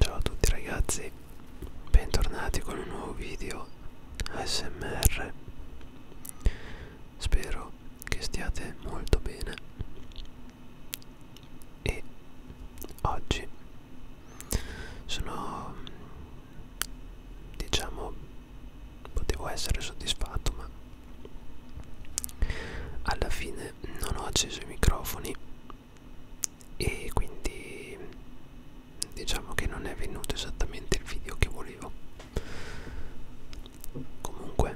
Ciao a tutti ragazzi, bentornati con un nuovo video ASMR. Spero che stiate molto bene. E oggi sono diciamo potevo essere soddisfatto ma alla fine non ho acceso i microfoni e quindi diciamo che non è venuto esattamente il video che volevo comunque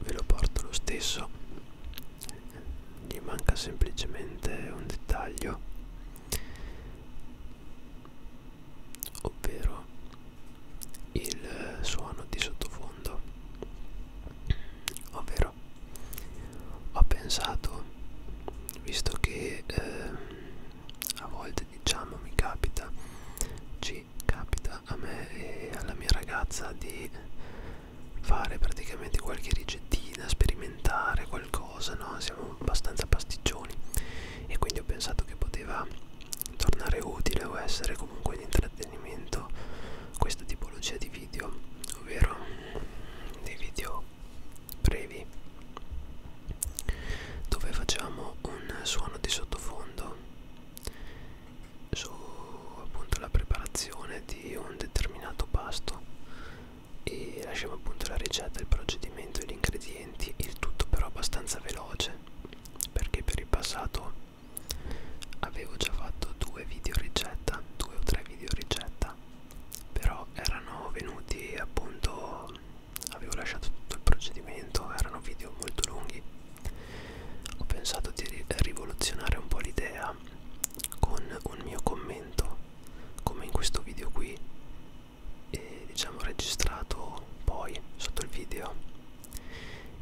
ve lo porto lo stesso gli manca semplicemente un dettaglio ovvero il suono di sottofondo ovvero ho pensato visto che eh, a volte diciamo mi capita ci capita a me e alla mia ragazza di fare praticamente qualche ricettina sperimentare qualcosa no siamo abbastanza pasticcioni e quindi ho pensato che poteva tornare utile o essere comunque di intrattenimento questa tipologia di video ovvero dei video brevi dove facciamo un suono di sottofondo su appunto la preparazione di un determinato pasto e lasciamo appunto la ricetta il procedimento e gli ingredienti il tutto però abbastanza veloce perché per il passato avevo già fatto due video ricetta due o tre video ricetta però erano venuti appunto avevo lasciato tutto il procedimento erano video molto lunghi ho pensato di rivoluzionare un po' l'idea con un mio commento come in questo video qui eh, diciamo registrato poi sotto il video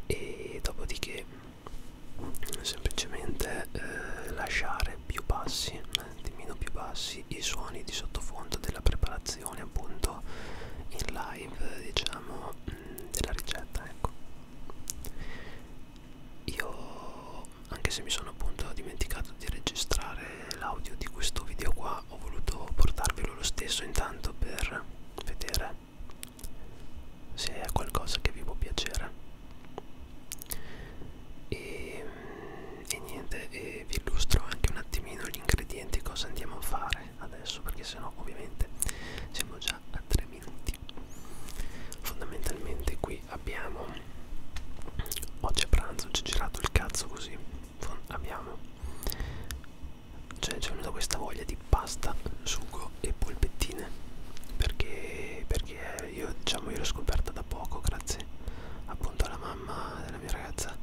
e dopodiché semplicemente eh, lasciare più bassi eh, meno più bassi i suoni di sottofondo della preparazione appunto in live diciamo mh, mm, della ricetta ecco io anche se mi sono appunto dimenticato di registrare l'audio di questo video qua ma ho voluto portarvelo lo stesso intanto per vedere se è qualcosa che vi può piacere e, mm, e niente e vi illustro anche un attimino gli ingredienti cosa andiamo a fare adesso perché sennò ovviamente siamo già a 3 minuti fondamentalmente qui abbiamo oggi a pranzo ci ho girato il cazzo così abbiamo cioè c'è venuta questa voglia di pasta, sugo e polpettine perché, perché io diciamo io l'ho scoperta da poco grazie appunto alla mamma della mia ragazza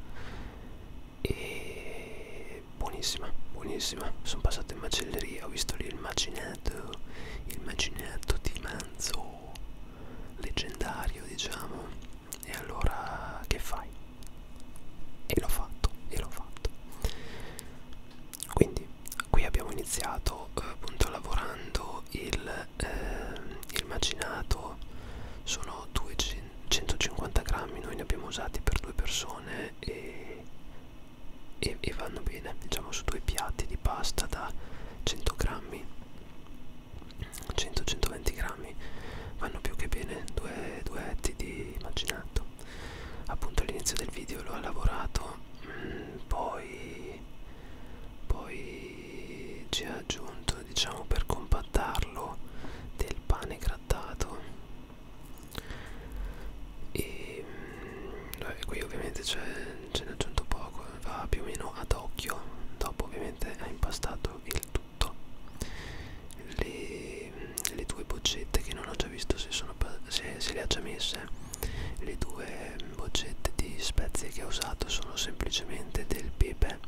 e buonissima buonissima sono passato in macelleria ho visto lì il macinato il macinato di manzo leggendario diciamo e allora che fai? E l'ho fatto, e l'ho fatto. Quindi qui abbiamo iniziato eh, appunto lavorando il, eh, il macinato, sono 250 grammi, noi ne abbiamo usati per due persone e, e, e vanno bene, diciamo su due piatti di pasta da 100 grammi 100-120 grammi vanno più che bene due, due etti di macinato appunto all'inizio del video l'ho lavorato mm, poi poi ci ho aggiunto diciamo per compattarlo del pane grattato e mm, beh, qui ovviamente ce n'è aggiunto poco va più o meno ad occhio dopo ovviamente è impastato chiaro il tutto le, le due boccette che non ho già visto se, sono, se, se le ha già messe le due boccette di spezie che ho usato sono semplicemente del pepe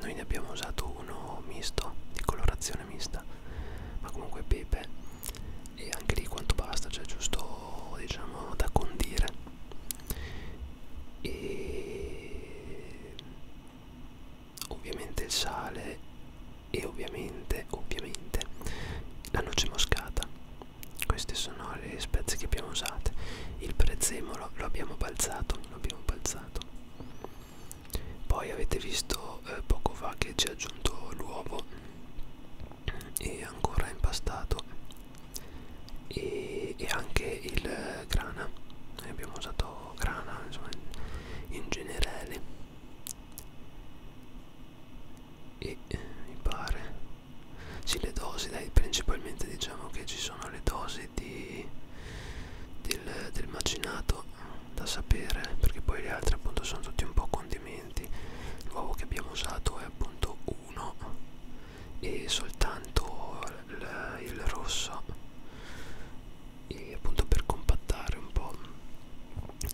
noi ne abbiamo usato uno misto di colorazione mista ma comunque pepe e anche lì quanto basta cioè giusto diciamo da condire e ovviamente il sale e ovviamente ovviamente la noce moscata queste sono le spezie che abbiamo usate il prezzemolo lo abbiamo balzato lo abbiamo balzato poi avete visto eh, poco fa che ci ha aggiunto l'uovo e ancora impastato e, e anche il grana noi abbiamo usato grana insomma, in, in generale e eh, mi pare sì le dosi dai principalmente diciamo che ci sono le dosi di, del, del macinato da sapere perché poi le altre appunto sono tutti un po' condimenti l'uovo che abbiamo usato è appunto 1 e soltanto il, il rosso e appunto per compattare un po'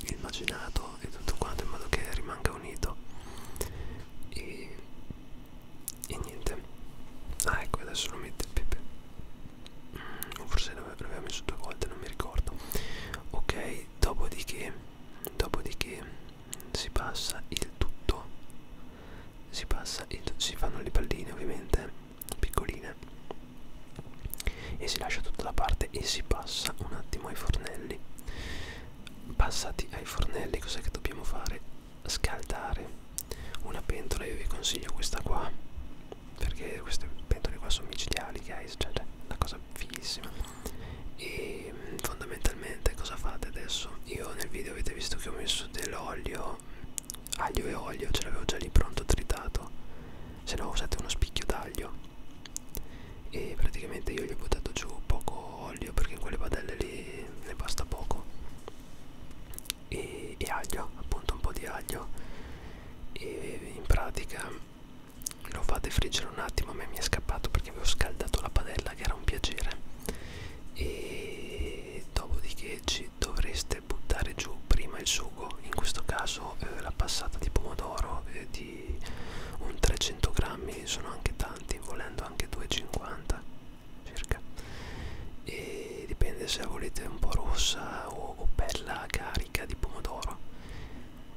il macinato e tutto quanto in modo che rimanga unito e, e niente ah ecco adesso lo metto il pepe o forse l'aveva messo due volte non mi ricordo ok dopodiché dopodiché si passa il tutto si passa il, si fanno le palline ovviamente piccoline e si lascia tutta la parte e si passa un attimo ai fornelli passati ai fornelli cos'è che dobbiamo fare scaldare una pentola io vi consiglio questa qua perché queste pentole qua sono micidiali guys cioè, cioè una cosa fighissima e mm, fondamentalmente cosa fate adesso io nel video avete visto che ho messo dell'olio aglio e olio ce l'avevo già lì pronto tritato se no usate uno spicchio d'aglio e praticamente io gli ho buttato giù poco olio perché in quelle padelle lì ne basta poco e, e aglio appunto un po' di aglio e in pratica lo fate friggere un attimo a me mi è scappato perché avevo scaldato la padella che era un piacere e dopodiché ci dovreste buttare giù prima il sugo in questo caso eh, la passata di pomodoro eh, di un 300 grammi sono anche tanti volendo anche 2,50 circa e dipende se volete un po' rossa o, o bella carica di pomodoro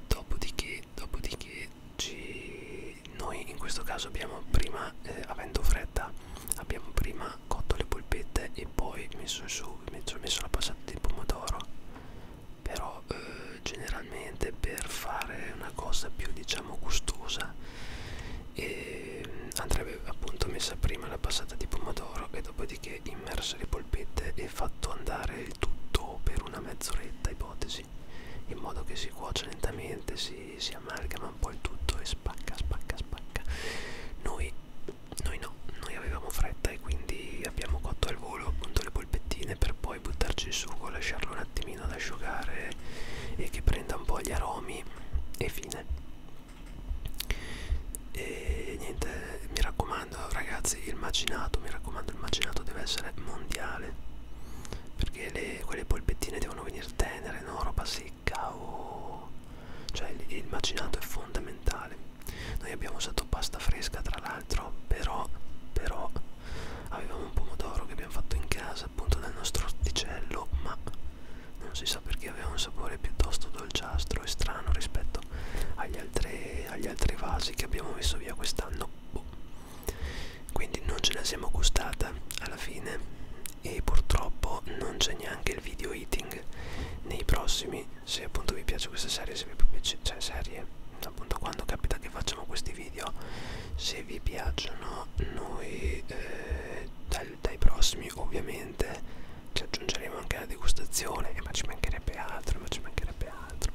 dopodiché dopodiché ci, ci, noi in questo caso abbiamo prima, eh, avendo fredda, abbiamo prima cotto le polpette e poi messo su, messo, messo la passata di pomodoro. Però eh, generalmente per fare una cosa più diciamo gustosa eh, andrebbe appunto messa prima la passata di pomodoro e dopodiché immerso le polpette e fatto andare il tutto per una mezz'oretta ipotesi così in modo che si cuoce lentamente, si, si amalgama un po' il tutto e spacca, spacca, spacca. Noi, noi no, noi avevamo fretta e quindi abbiamo cotto al volo appunto le polpettine per poi buttarci il sugo, lasciarlo un attimino ad asciugare e che prenda un po' gli aromi e fine. E niente, mi raccomando ragazzi, il macinato, mi raccomando il macinato deve essere mondiale perché le, quelle polpettine devono venire tenere, no? Roba secca o... cioè il macinato è fondamentale. Noi abbiamo usato pasta fresca tra l'altro, però, però avevamo un pomodoro che abbiamo fatto in casa appunto nel nostro orticello, ma non si sa perché aveva un sapore piuttosto dolciastro e strano rispetto agli altri, agli altri vasi che abbiamo messo via quest'anno. Boh quindi non ce la siamo gustata alla fine e purtroppo non c'è neanche il video eating nei prossimi se appunto vi piace questa serie se vi piace cioè serie appunto quando capita che facciamo questi video se vi piacciono noi eh, dai, dai prossimi ovviamente ci aggiungeremo anche la degustazione ma ci mancherebbe altro ma ci mancherebbe altro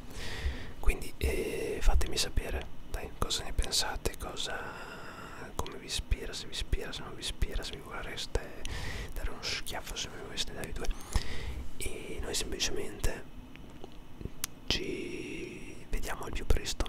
quindi eh, fatemi sapere dai, cosa ne pensate cosa, come vi ispira se vi ispira se non vi ispira se vi vorreste dare uno schiaffo se vi vorreste dare due e noi semplicemente ci vediamo al più presto